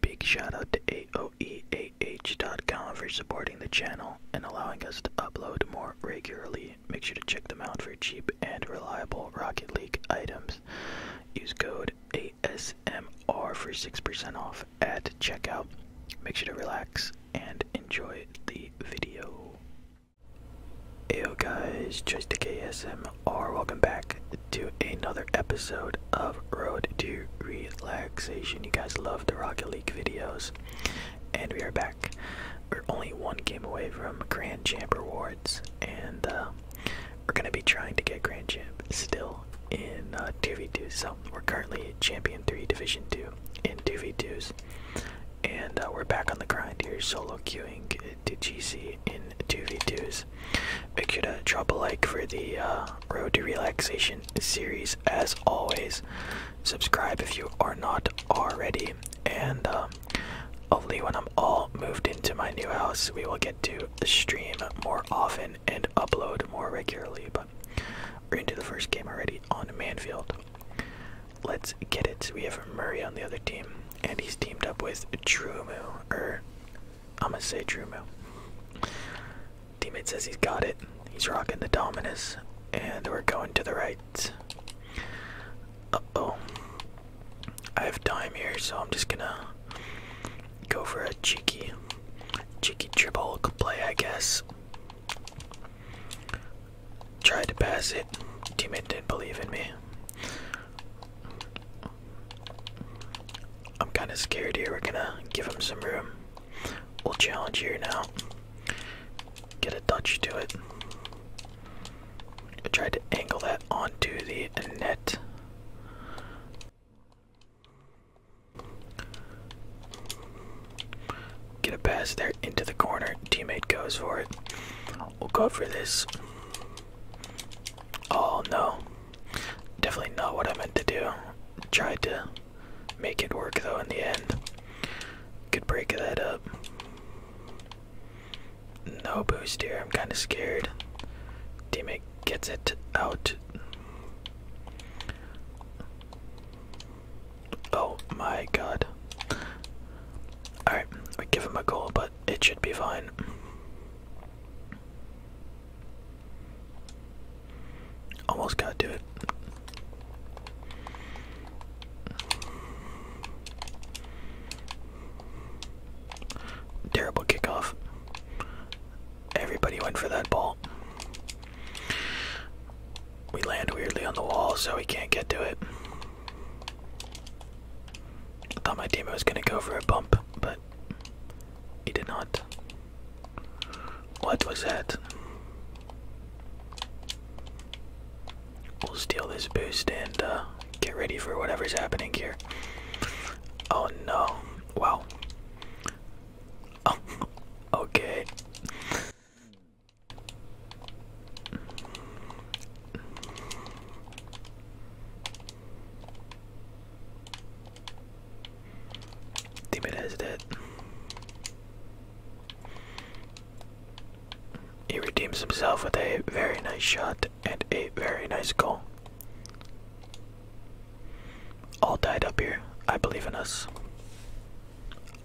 Big shout out to AOEAH.com for supporting the channel and allowing us to upload more regularly. Make sure to check them out for cheap and reliable Rocket League items. Use code ASMR for 6% off at checkout. Make sure to relax and enjoy the video. Hey guys, just KSMR, welcome back to another episode of Road to Relaxation. You guys love the Rocket League videos, and we are back. We're only one game away from Grand Champ rewards, and uh, we're gonna be trying to get Grand Champ still in 2v2. Uh, so we're currently Champion 3 Division 2 in 2v2s, and uh, we're back on the grind here, solo queuing to GC in 2v2s. Make sure to drop a like for the uh, Road to Relaxation series as always. Subscribe if you are not already, and um, only when I'm all moved into my new house, we will get to stream more often and upload more regularly. But we're into the first game already on Manfield. Let's get it. We have Murray on the other team, and he's teamed up with Drumu, or I'm gonna say Drew Mill. Teammate says he's got it. He's rocking the Dominus, and we're going to the right. oh. I have time here, so I'm just gonna go for a cheeky, cheeky dribble play, I guess. Tried to pass it. Teammate didn't believe in me. I'm kind of scared here. We're gonna give him some room. We'll challenge here now. Get a touch to it. I tried to angle that onto the net. Get a pass there into the corner. Teammate goes for it. We'll go for this. Oh no. Definitely not what I meant to do. Tried to make it work though in the end. could break that up. No boost here. I'm kind of scared. Teammate gets it out. Oh my god. Alright, we give him a goal, but it should be fine. Almost gotta do it. Terrible kickoff. Everybody went for that ball. We land weirdly on the wall, so we can't get to it. I thought my teammate was gonna go for a bump, but what? did not. What was that? We'll steal this boost and uh, get ready for whatever's happening here. Oh no. Wow. okay. Demon is dead. He redeems himself with a very nice shot and a very nice goal. All tied up here. I believe in us.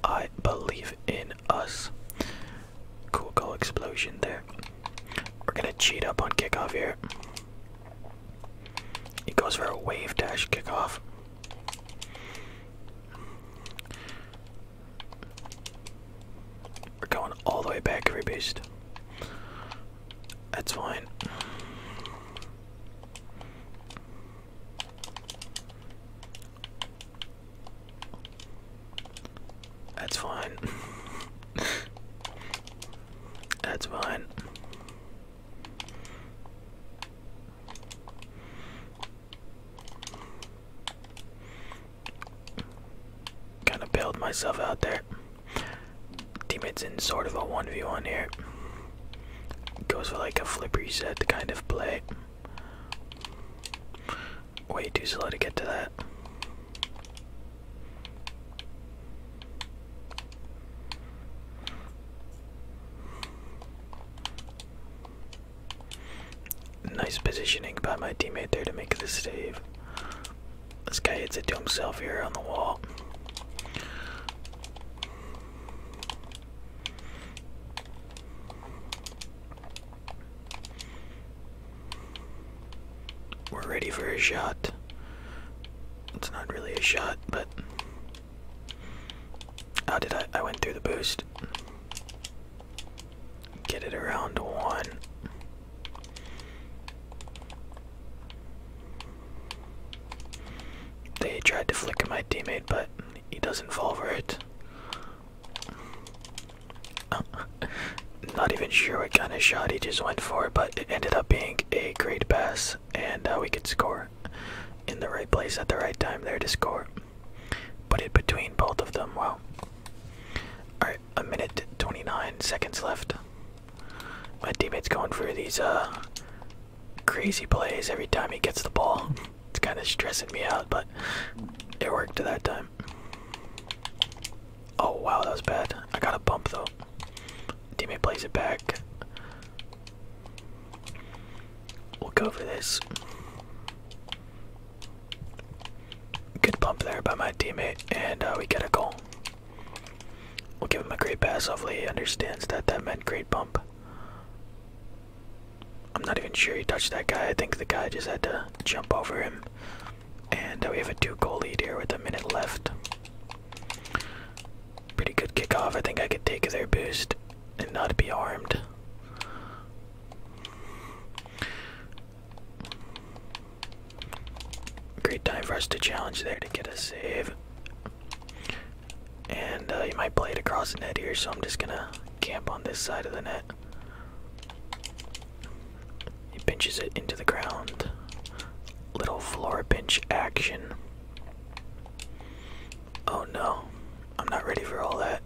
I believe in us. Cool goal explosion there. We're gonna cheat up on kickoff here. He goes for a wave dash kickoff. We're going all the way back, every beast. That's fine. That's fine. That's fine. Kind of bailed myself out there. Teammates in sort of a 1v1 here. Goes for like a flippery set, reset kind of play. Way too slow to get to that. Nice positioning by my teammate there to make the save. This guy hits it to himself here on the wall. We're ready for a shot. It's not really a shot, but how did I? I went through the boost. Get it around one. They tried to flick my teammate, but he doesn't fall for it. Uh, not even sure what kind of shot he just went for, but it ended up being a great pass, and uh, we could score in the right place at the right time there to score. Put it between both of them. Wow. Alright, a minute 29 seconds left. My teammate's going through these uh, crazy plays every time he gets the ball. It's kind of stressing me out, but it worked that time. Oh wow, that was bad. I got a bump though. Teammate plays it back. We'll go for this. Good bump there by my teammate, and uh, we get a goal. We'll give him a great pass. Hopefully, he understands that that meant great bump. I'm not even sure he touched that guy. I think the guy just had to jump over him. And we have a two goal lead here with a minute left. Pretty good kickoff. I think I could take their boost and not be armed. Great time for us to challenge there to get a save. And uh, you might play it across the net here, so I'm just gonna camp on this side of the net. He pinches it into the ground. Little floor pinch action. Oh no, I'm not ready for all that.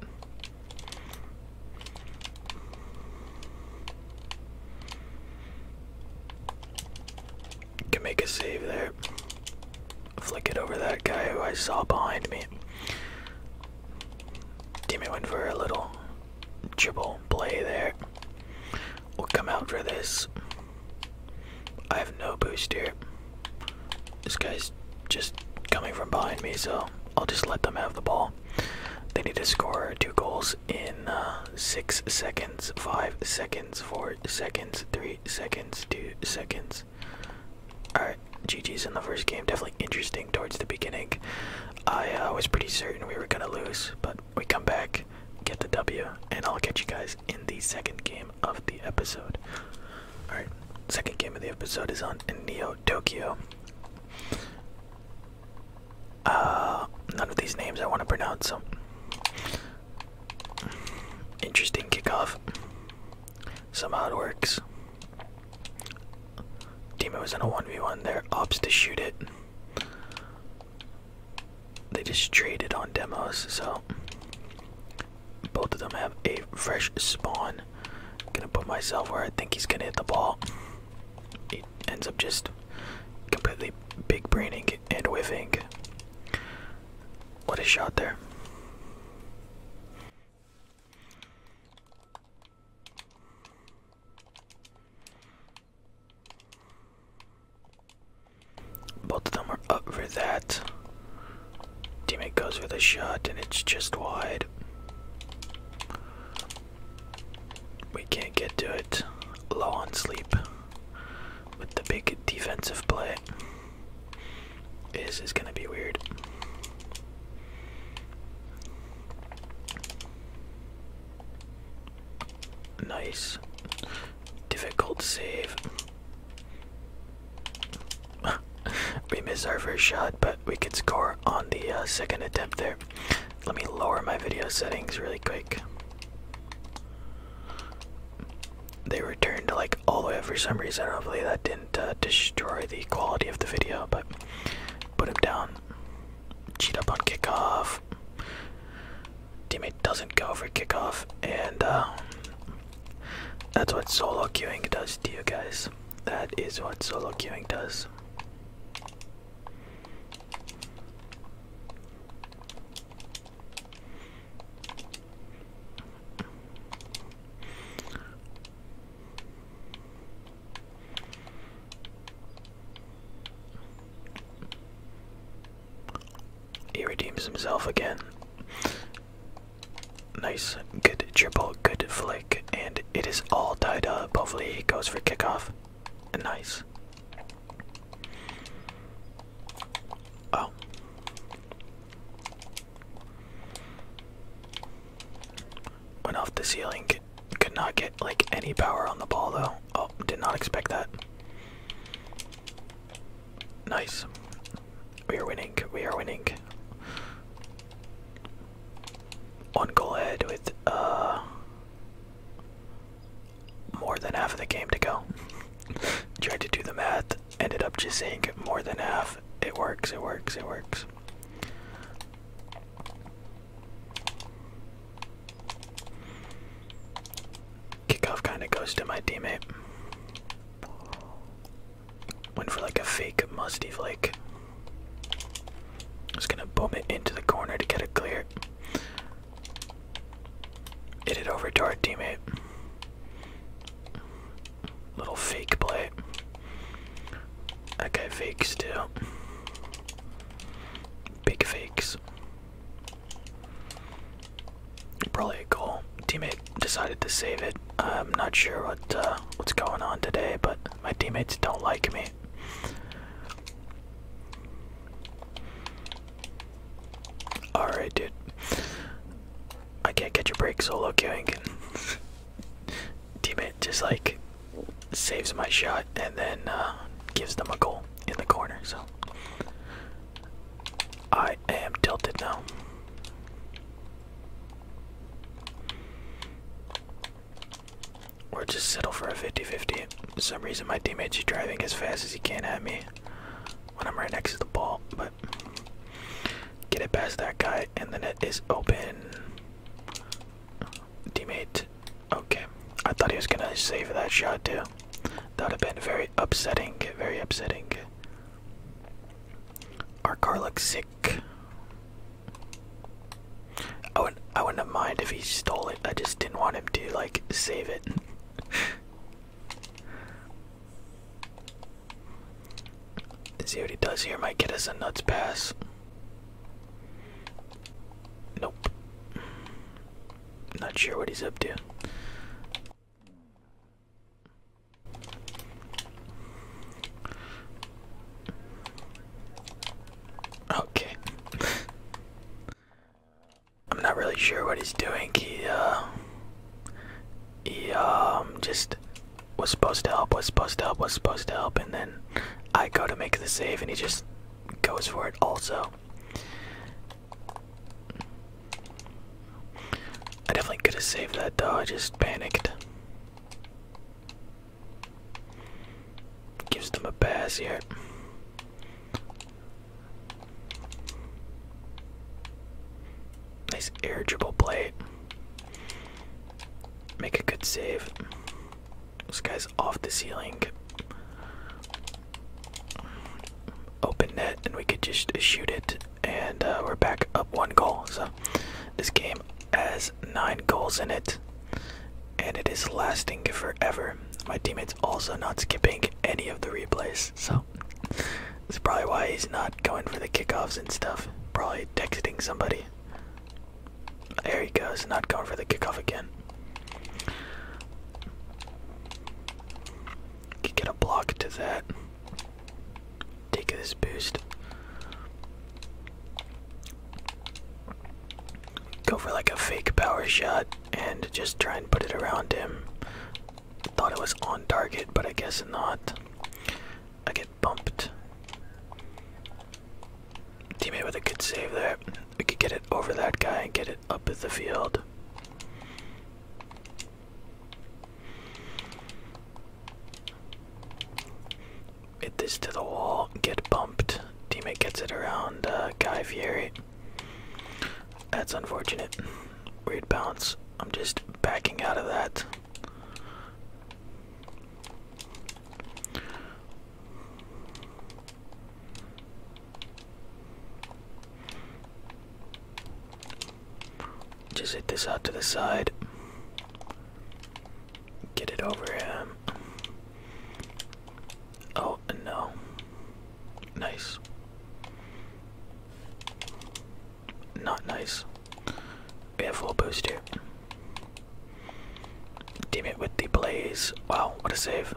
Can make a save there. Flick it over that guy who I saw behind me. Teammate went for a little dribble play there. We'll come out for this. I have no boost here. This guy's just coming from behind me, so I'll just let them have the ball. They need to score two goals in uh, six seconds, five seconds, four seconds, three seconds, two seconds. Alright, GG's in the first game. Definitely interesting towards the beginning. I uh, was pretty certain we were gonna lose, but we come back, get the W, and I'll catch you guys in the second game of the episode. Alright, second game of the episode is on Neo Tokyo. Uh, none of these names I want to pronounce, so. Interesting kickoff. Somehow it works. Timo is in a 1v1 there, ops to shoot it. They just traded on demos, so both of them have a fresh spawn. I'm gonna put myself where I think he's gonna hit the ball. It ends up just completely big braining and whiffing. What a shot there. Both of them are up for that. Teammate goes for the shot and it's just wide. We can't get to it. Low on sleep. With the big defensive play. This is gonna be weird. Nice. Difficult save. we missed our first shot, but we could score on the uh, second attempt there. Let me lower my video settings really quick. They returned like all the way up for some reason. Hopefully that didn't uh, destroy the quality of the video, but put them down. Cheat up on kickoff. Teammate doesn't go for kickoff, and uh, that's what solo queuing does to you guys. That is what solo queuing does. He redeems himself again. Nice, good triple, good flick, and it is all tied up. Hopefully, he goes for kickoff. Nice. Oh. Went off the ceiling could not get like any power on the ball though. Oh, did not expect that. Nice. We are winning. We are winning. One goal ahead with uh more than half of the game to go. Tried to do the math, ended up just saying more than half. It works, it works, it works. Kickoff kind of goes to my teammate. Went for like a fake musty flake. Just gonna bomb it into the corner to get it clear. Hit it over to our teammate. Little fake play. I got fakes still. Big fakes. Probably a goal. Teammate decided to save it. I'm not sure what uh, what's going on today, but my teammates don't like me. Alright, dude. I can't catch a break solo queuing. teammate just like saves my shot and then uh, gives them a goal in the corner. So I am tilted now. Or just settle for a 50-50. For some reason my teammate's driving as fast as he can at me when I'm right next to the ball, but get it past that guy and then it is open teammate. Okay, I thought he was gonna save that shot too. That would have been very upsetting, very upsetting. Our car looks sick. I wouldn't, I wouldn't mind if he stole it. I just didn't want him to like save it. see what he does here. Might get us a nuts pass. Nope. Not sure what he's up to. Okay. I'm not really sure what he's doing. He, uh, he, um, just was supposed to help, was supposed to help, was supposed to help, and then I go to make the save and he just goes for it also. I definitely could have saved that though, I just panicked. Gives them a pass here. Nice air dribble play. Make a good save. This guy's off the ceiling. Open net, and we could just shoot it, and uh, we're back up one goal. So this game has nine goals in it, and it is lasting forever. My teammate's also not skipping any of the replays, so that's probably why he's not going for the kickoffs and stuff. Probably texting somebody. There he goes, not going for the kickoff again. get a block to that. Take this boost. Go for like a fake power shot and just try and put it around him. Thought it was on target, but I guess not. I guess bumped. Teammate with a good save there. We could get it over that guy and get it up at the field. Hit this to the wall, get bumped. Teammate gets it around uh, Guy Fieri. That's unfortunate. Weird bounce. I'm just backing out of that. Just hit this out to the side. Get it over him. Oh, no. Nice. Not nice. We have full booster. Damn it with the blaze. Wow, what a save.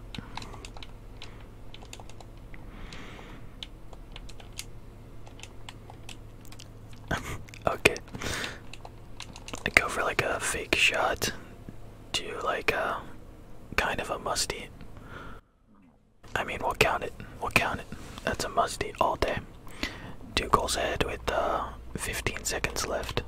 okay. go for like a fake shot to like a uh, kind of a musty. I mean, we'll count it. We'll count it. That's a musty all day two goals ahead with uh, 15 seconds left.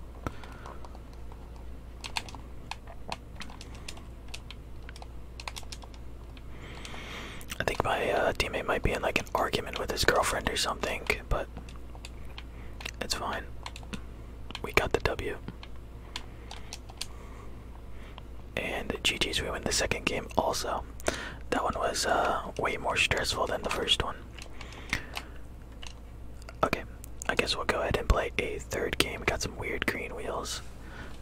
I think my uh, teammate might be in like an argument with his girlfriend or something, but it's fine. We got the W. And GG's, we win the second game also. That one was uh, way more stressful than the first one. Okay, I guess we'll go ahead and play a third game. got some weird green wheels.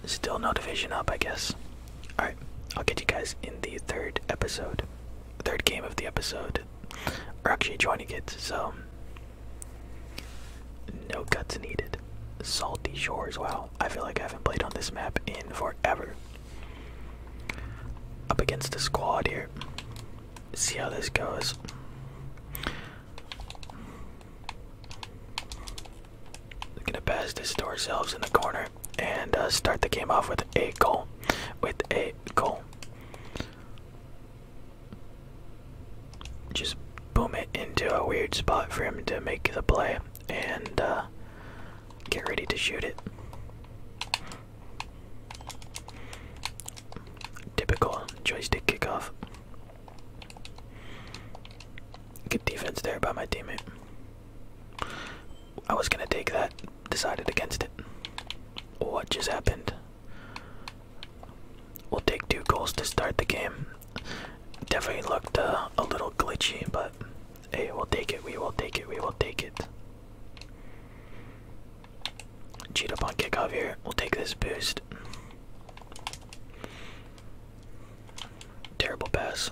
Still no division up, I guess. Alright, I'll get you guys in the third episode. Third game of the episode. Are actually joining it, so. No cuts needed. Salty Shores, wow. I feel like I haven't played on this map in forever. Up against the squad here. See how this goes. We're gonna pass this to ourselves in the corner and uh, start the game off with a goal. With a goal. Just boom it into a weird spot for him to make the play and uh, get ready to shoot it. Typical joystick kickoff. Good defense there by my teammate. I was gonna take that, decided against it. What just happened? We'll take two goals to start the game. Definitely looked uh, a little glitchy, but Hey, we'll take it. We will take it. We will take it. Cheat up on kickoff here. We'll take this boost. Terrible pass.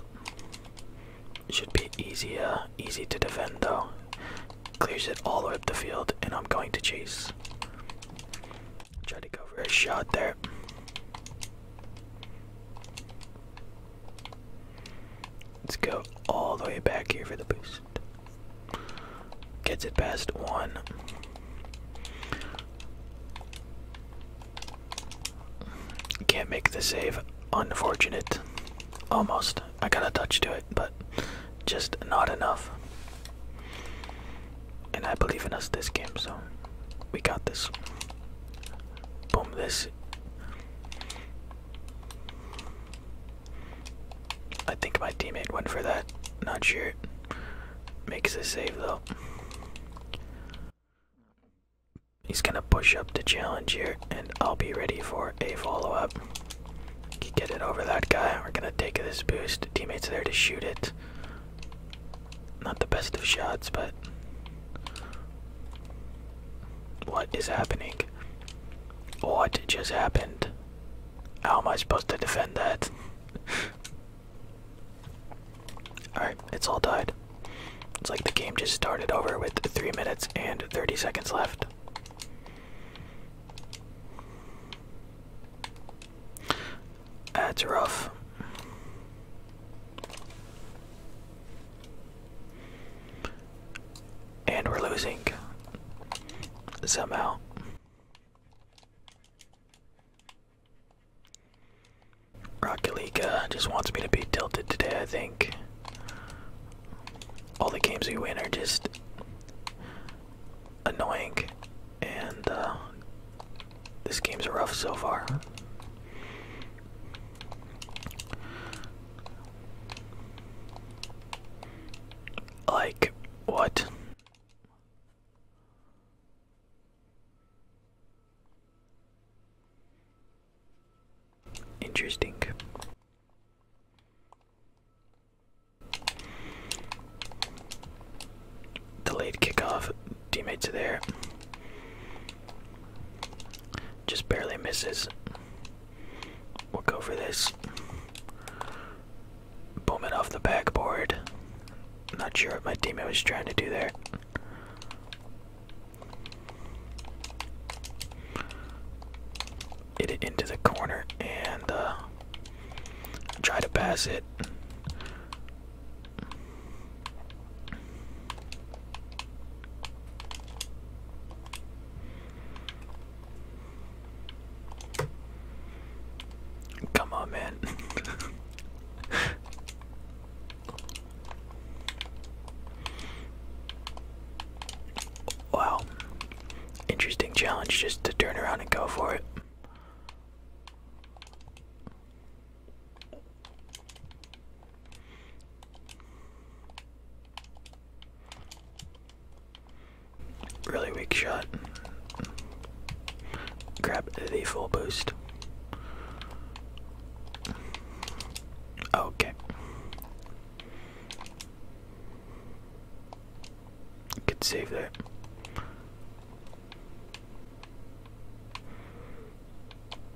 Should be easier, uh, easy to defend though. Clears it all the way up the field, and I'm going to chase. Try to go for a shot there. Let's go all the way back here for the boost. Gets it past one. Can't make the save. Unfortunate. Almost. I got a touch to it, but just not enough. And I believe in us this game, so we got this. Boom, this. I think my teammate went for that. Not sure. Makes a save though. He's gonna push up the challenge here, and I'll be ready for a follow up. Get it over that guy. We're gonna take this boost. Teammates there to shoot it. Not the best of shots, but. What is happening? What just happened? How am I supposed to defend that? Alright, it's all died. It's like the game just started over with 3 minutes and 30 seconds left. That's rough. And we're losing somehow. Rocket League uh, just wants me to be tilted today, I think. All the games we win are just annoying, and uh, this game's rough so far. Like, what? Interesting. Delayed kickoff. Teammates are there. Just barely misses. We'll go for this. Boom it off the backboard. Not sure what my teammate was trying to do there. Hit it into the corner and uh, try to pass it. Come on, man. wow. Interesting challenge just to turn around and go for it. Really weak shot. Grab the full boost. Okay. Good save there.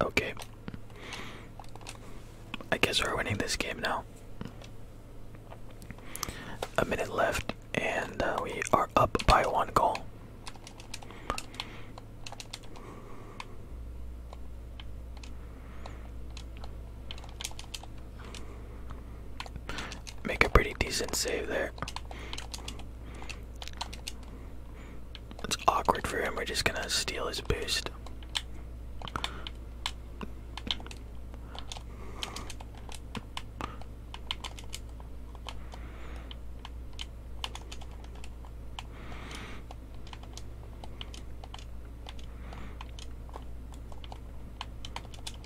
Okay. I guess we're winning this game now. A minute left, and uh, we are up by one goal. Make a pretty decent save there. It's awkward for him. We're just gonna steal his boost.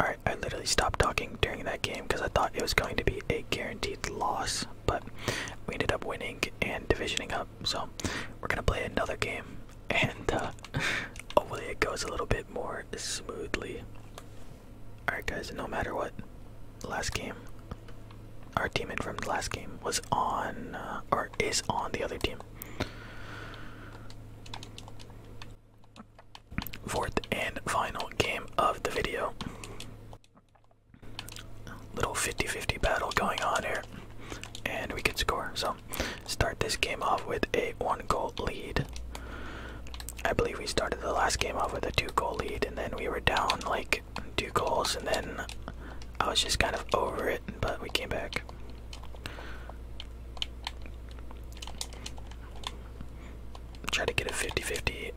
Alright, I literally stopped talking during that game because I thought it was going to be a guaranteed loss, but we ended up winning and divisioning up. So, we're going to play another game and uh, hopefully it goes a little bit more smoothly. Alright, guys, no matter what, last game, our teammate from the last game was on, uh, or is on the other team. Fourth and final game of the video. Little 50 50 battle going on here, and we could score, so Start this game off with a one goal lead. I believe we started the last game off with a two goal lead, and then we were down like two goals, and then I was just kind of over it, but we came back. Try to get a 50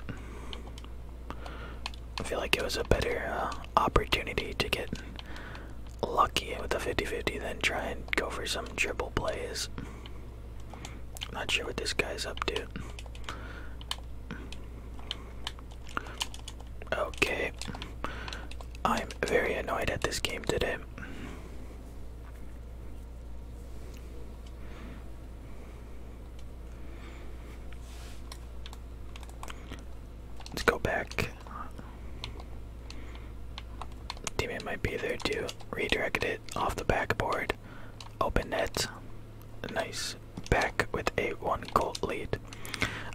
I feel like it was a better uh, opportunity to get lucky with the 50-50 then try and go for some triple plays. Not sure what this guy's up to. Okay. I'm very annoyed at this game today. Let's go back. Demon might be there too. Redirected it off the backboard. Open net. Nice. Back with a one goal lead.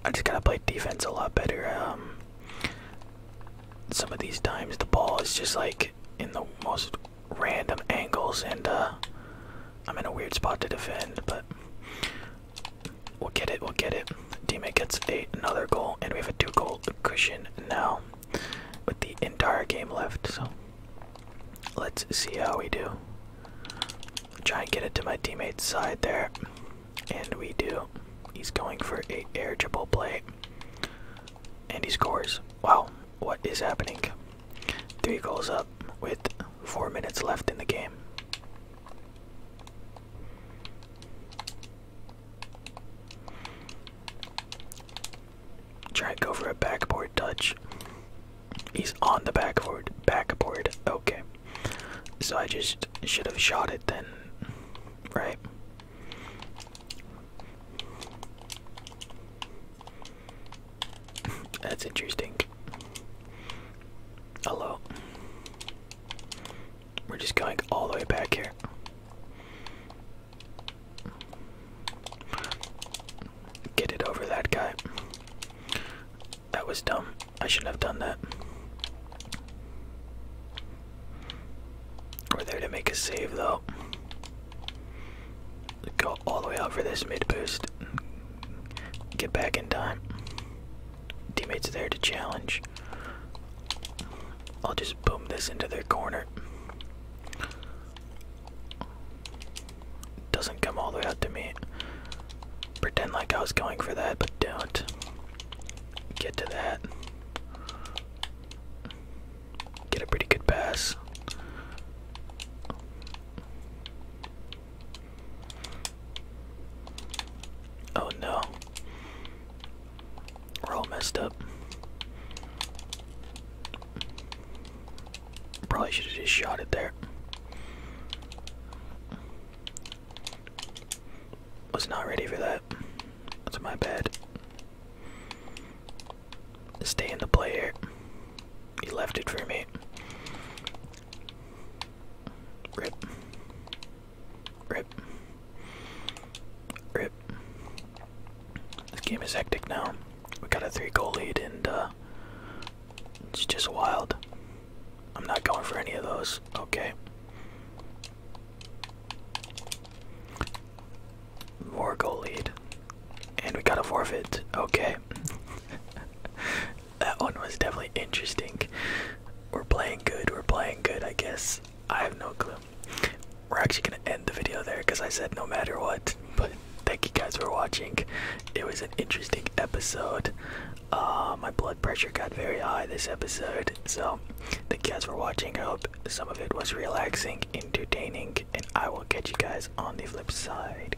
I just gotta play defense a lot better. Um, some of these times the ball is just like in the most random angles, and uh, I'm in a weird spot to defend. But We'll get it, we'll get it. Teammate gets another goal, and we have a two goal cushion now with the entire game left. So let's see how we do. Try and get it to my teammate's side there. And we do. He's going for a air triple play. And he scores. Wow, what is happening? Three goals up with four minutes left in the game. Try to go for a backboard touch. He's on the backboard. Backboard. Okay. So I just should have shot it then, right? That's interesting. Hello. We're just going all the way back here. Get it over that guy. That was dumb. I shouldn't have done that. We're there to make a save though. Go all the way out for this mid boost. Get back in time teammates there to challenge. I'll just boom this into their corner. Doesn't come all the way out to me. Pretend like I was going for that, but don't. Get to that. Get a pretty good pass. Oh no. We're all messed up. Probably should have just shot it there. Was not ready for that. That's my bad. Stay in the play He left it for me. Rip. Rip. Rip. This game is hectic now. We got a three goal lead and uh it's just wild. I'm not going for any of those. Okay. More goal lead. And we got a forfeit. Okay. that one was definitely interesting. We're playing good. We're playing good, I guess. I have no clue. We're actually going to end the video there because I said no matter what. But thank you guys for watching. It was an interesting episode. Uh, my blood pressure got very high this episode. So the guys were watching. I hope some of it was relaxing, entertaining, and I will catch you guys on the flip side.